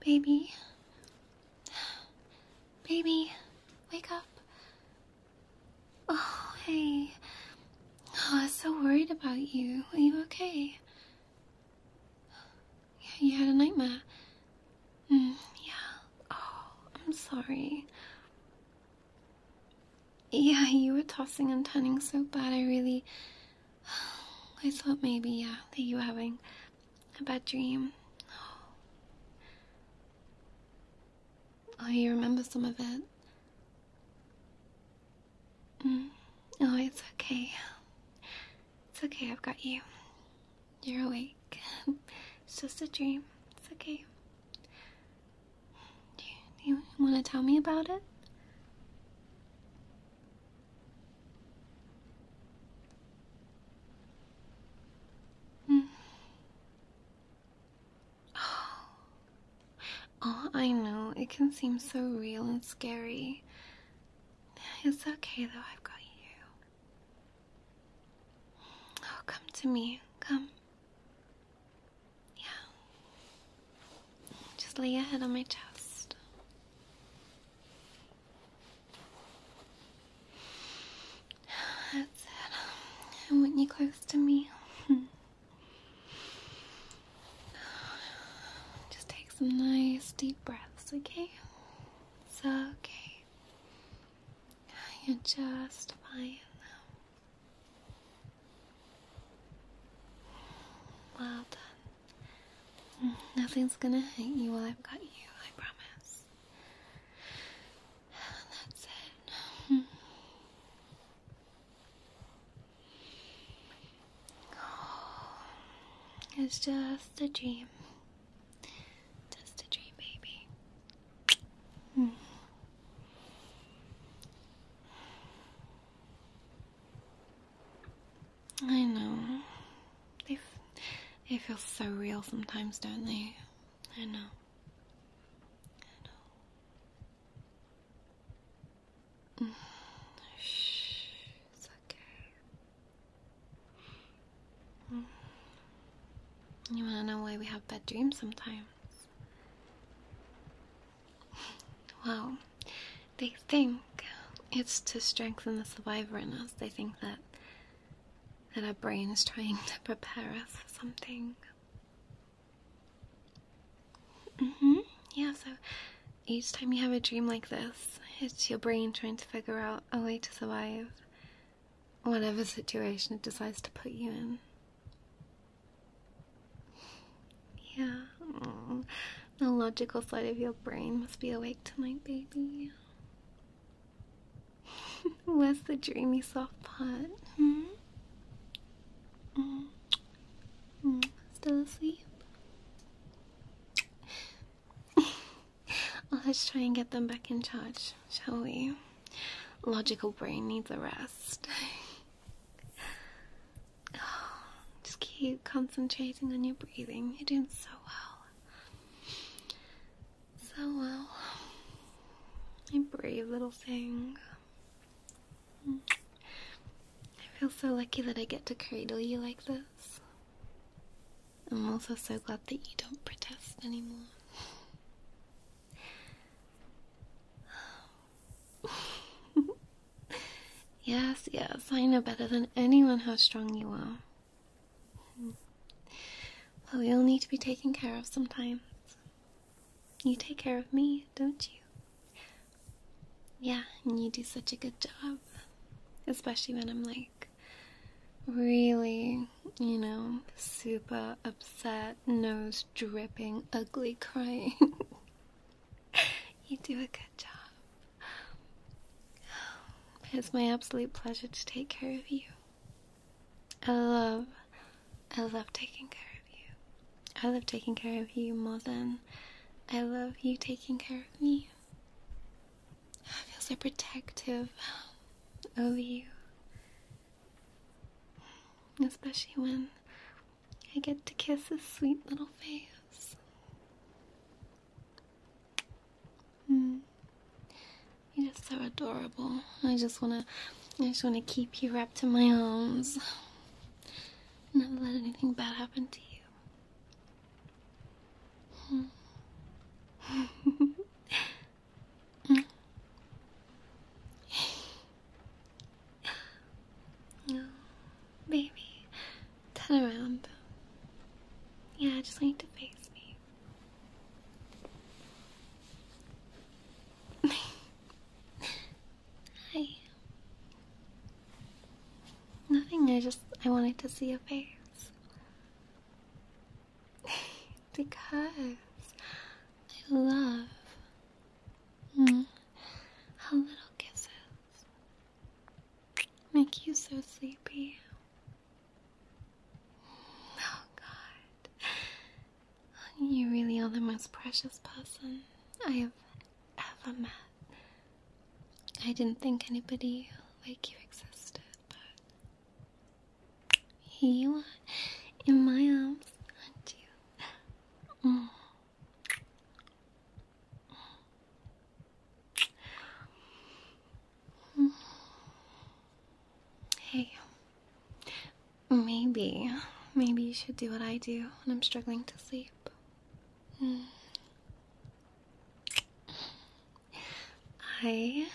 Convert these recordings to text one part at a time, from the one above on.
Baby. Baby, wake up. Oh, hey. Oh, I was so worried about you. Are you okay? Yeah, you had a nightmare. Mm, yeah. Oh, I'm sorry. Yeah, you were tossing and turning so bad, I really. I thought maybe, yeah, that you were having a bad dream. Oh, you remember some of it. Mm. Oh, it's okay. It's okay, I've got you. You're awake. it's just a dream. It's okay. Do you, want to tell me about it? Hmm. Oh. oh, I know. It can seem so real and scary. It's okay though, I've got you. Oh, come to me, come. Yeah. Just lay your head on my chest. That's it. I you close to me. Just take some nice deep breaths, okay? It's okay. You're just fine Well done. Nothing's gonna hurt you while I've got you, I promise. That's it it's just a dream. Just a dream, baby. Hmm. I know. They, they feel so real sometimes, don't they? I know. Shh. It's okay. You wanna know why we have bad dreams sometimes? Well, they think it's to strengthen the survivor in us. They think that that our brain is trying to prepare us for something. Mm-hmm. Yeah, so each time you have a dream like this, it's your brain trying to figure out a way to survive whatever situation it decides to put you in. Yeah, the logical side of your brain must be awake tonight, baby. Where's the dreamy soft part? Hmm? Hmm? Hmm? Still asleep? let's try and get them back in charge, shall we? Logical brain needs a rest. Oh, just keep concentrating on your breathing. You're doing so well. So well. My brave little thing. I feel so lucky that I get to cradle you like this. I'm also so glad that you don't protest anymore. yes, yes, I know better than anyone how strong you are. But we all need to be taken care of sometimes. You take care of me, don't you? Yeah, and you do such a good job. Especially when I'm like really, you know, super upset, nose dripping, ugly crying. you do a good job. It's my absolute pleasure to take care of you. I love, I love taking care of you. I love taking care of you more than I love you taking care of me. I feel so protective of you. Especially when I get to kiss his sweet little face. Hmm. You're just so adorable. I just wanna, I just wanna keep you wrapped in my arms. Never let anything bad happen to you. baby, turn around. Yeah, just need to face me. Hi. Nothing, I just I wanted to see your face. because I love mm, how little kisses make you so sleepy. Oh God. You really are the most precious person I have ever met. I didn't think anybody like you existed, but here you are in my arms, aren't Hey, maybe, maybe you should do what I do when I'm struggling to sleep. Hmm. I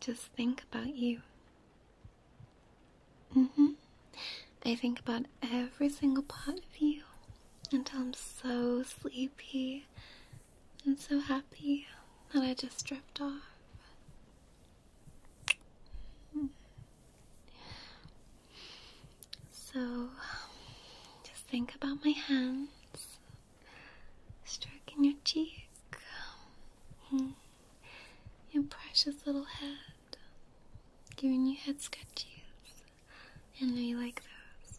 just think about you. hmm. I think about every single part of you until I'm so sleepy and so happy that I just drift off. So just think about my hands stroking your cheek, hmm. your precious little head, giving you head scratches. I know you like those.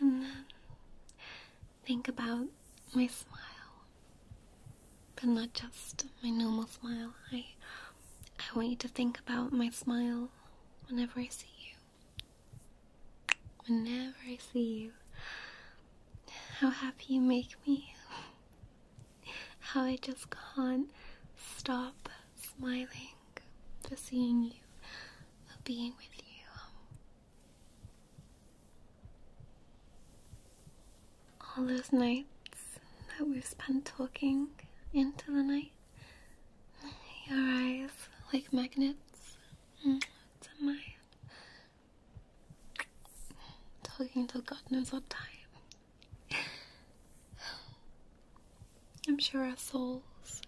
And then think about my smile, but not just my normal smile. I I want you to think about my smile whenever I see you. Whenever I see you, how happy you make me. How I just can't stop smiling for seeing you, for being with you. All those nights that we've spent talking into the night, your eyes like magnets mm, to mine, talking till God knows what time. I'm sure our souls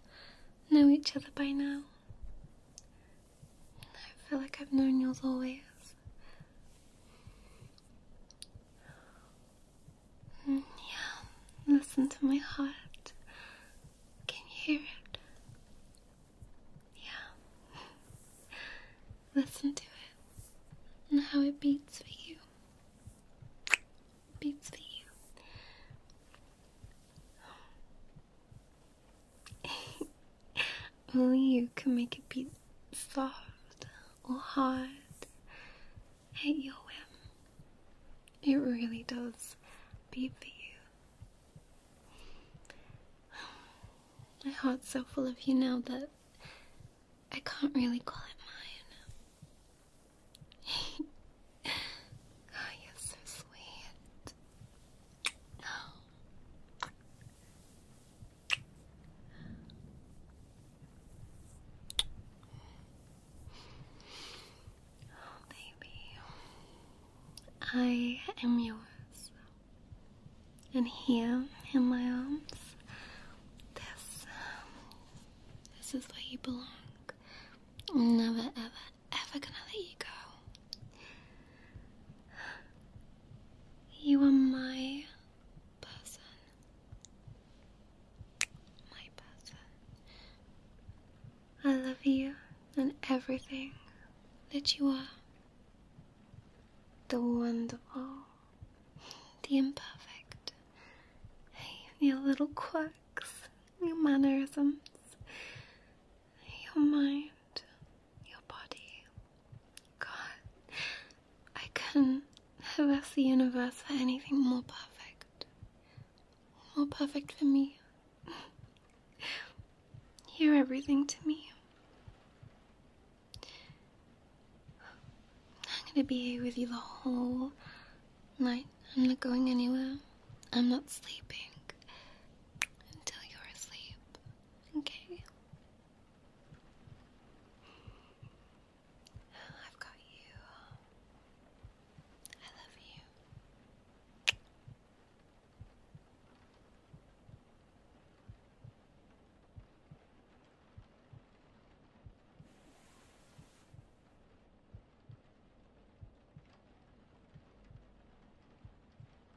know each other by now. I feel like I've known yours always. Mm, yeah, listen to my heart. Can you hear it? Yeah. listen to it and how it beats for you. Beats for you. Only you can make it be soft or hard at your whim. It really does beat for you. My heart's so full of you now that I can't really call it mine. Oh, you're so sweet. Oh, baby, I am yours. And here in my arms, this, um, this is where you belong. I'm never, ever, ever gonna let you go. You are my person. My person. I love you and everything that you are. The wonderful, the imperfect, your little quirks, your mannerisms, your mind, your body. God, I can not have the universe for anything more perfect. More perfect for me. You're everything to me. I'm gonna be here with you the whole night. I'm not going anywhere. I'm not sleeping until you're asleep. Okay? I've got you. I love you.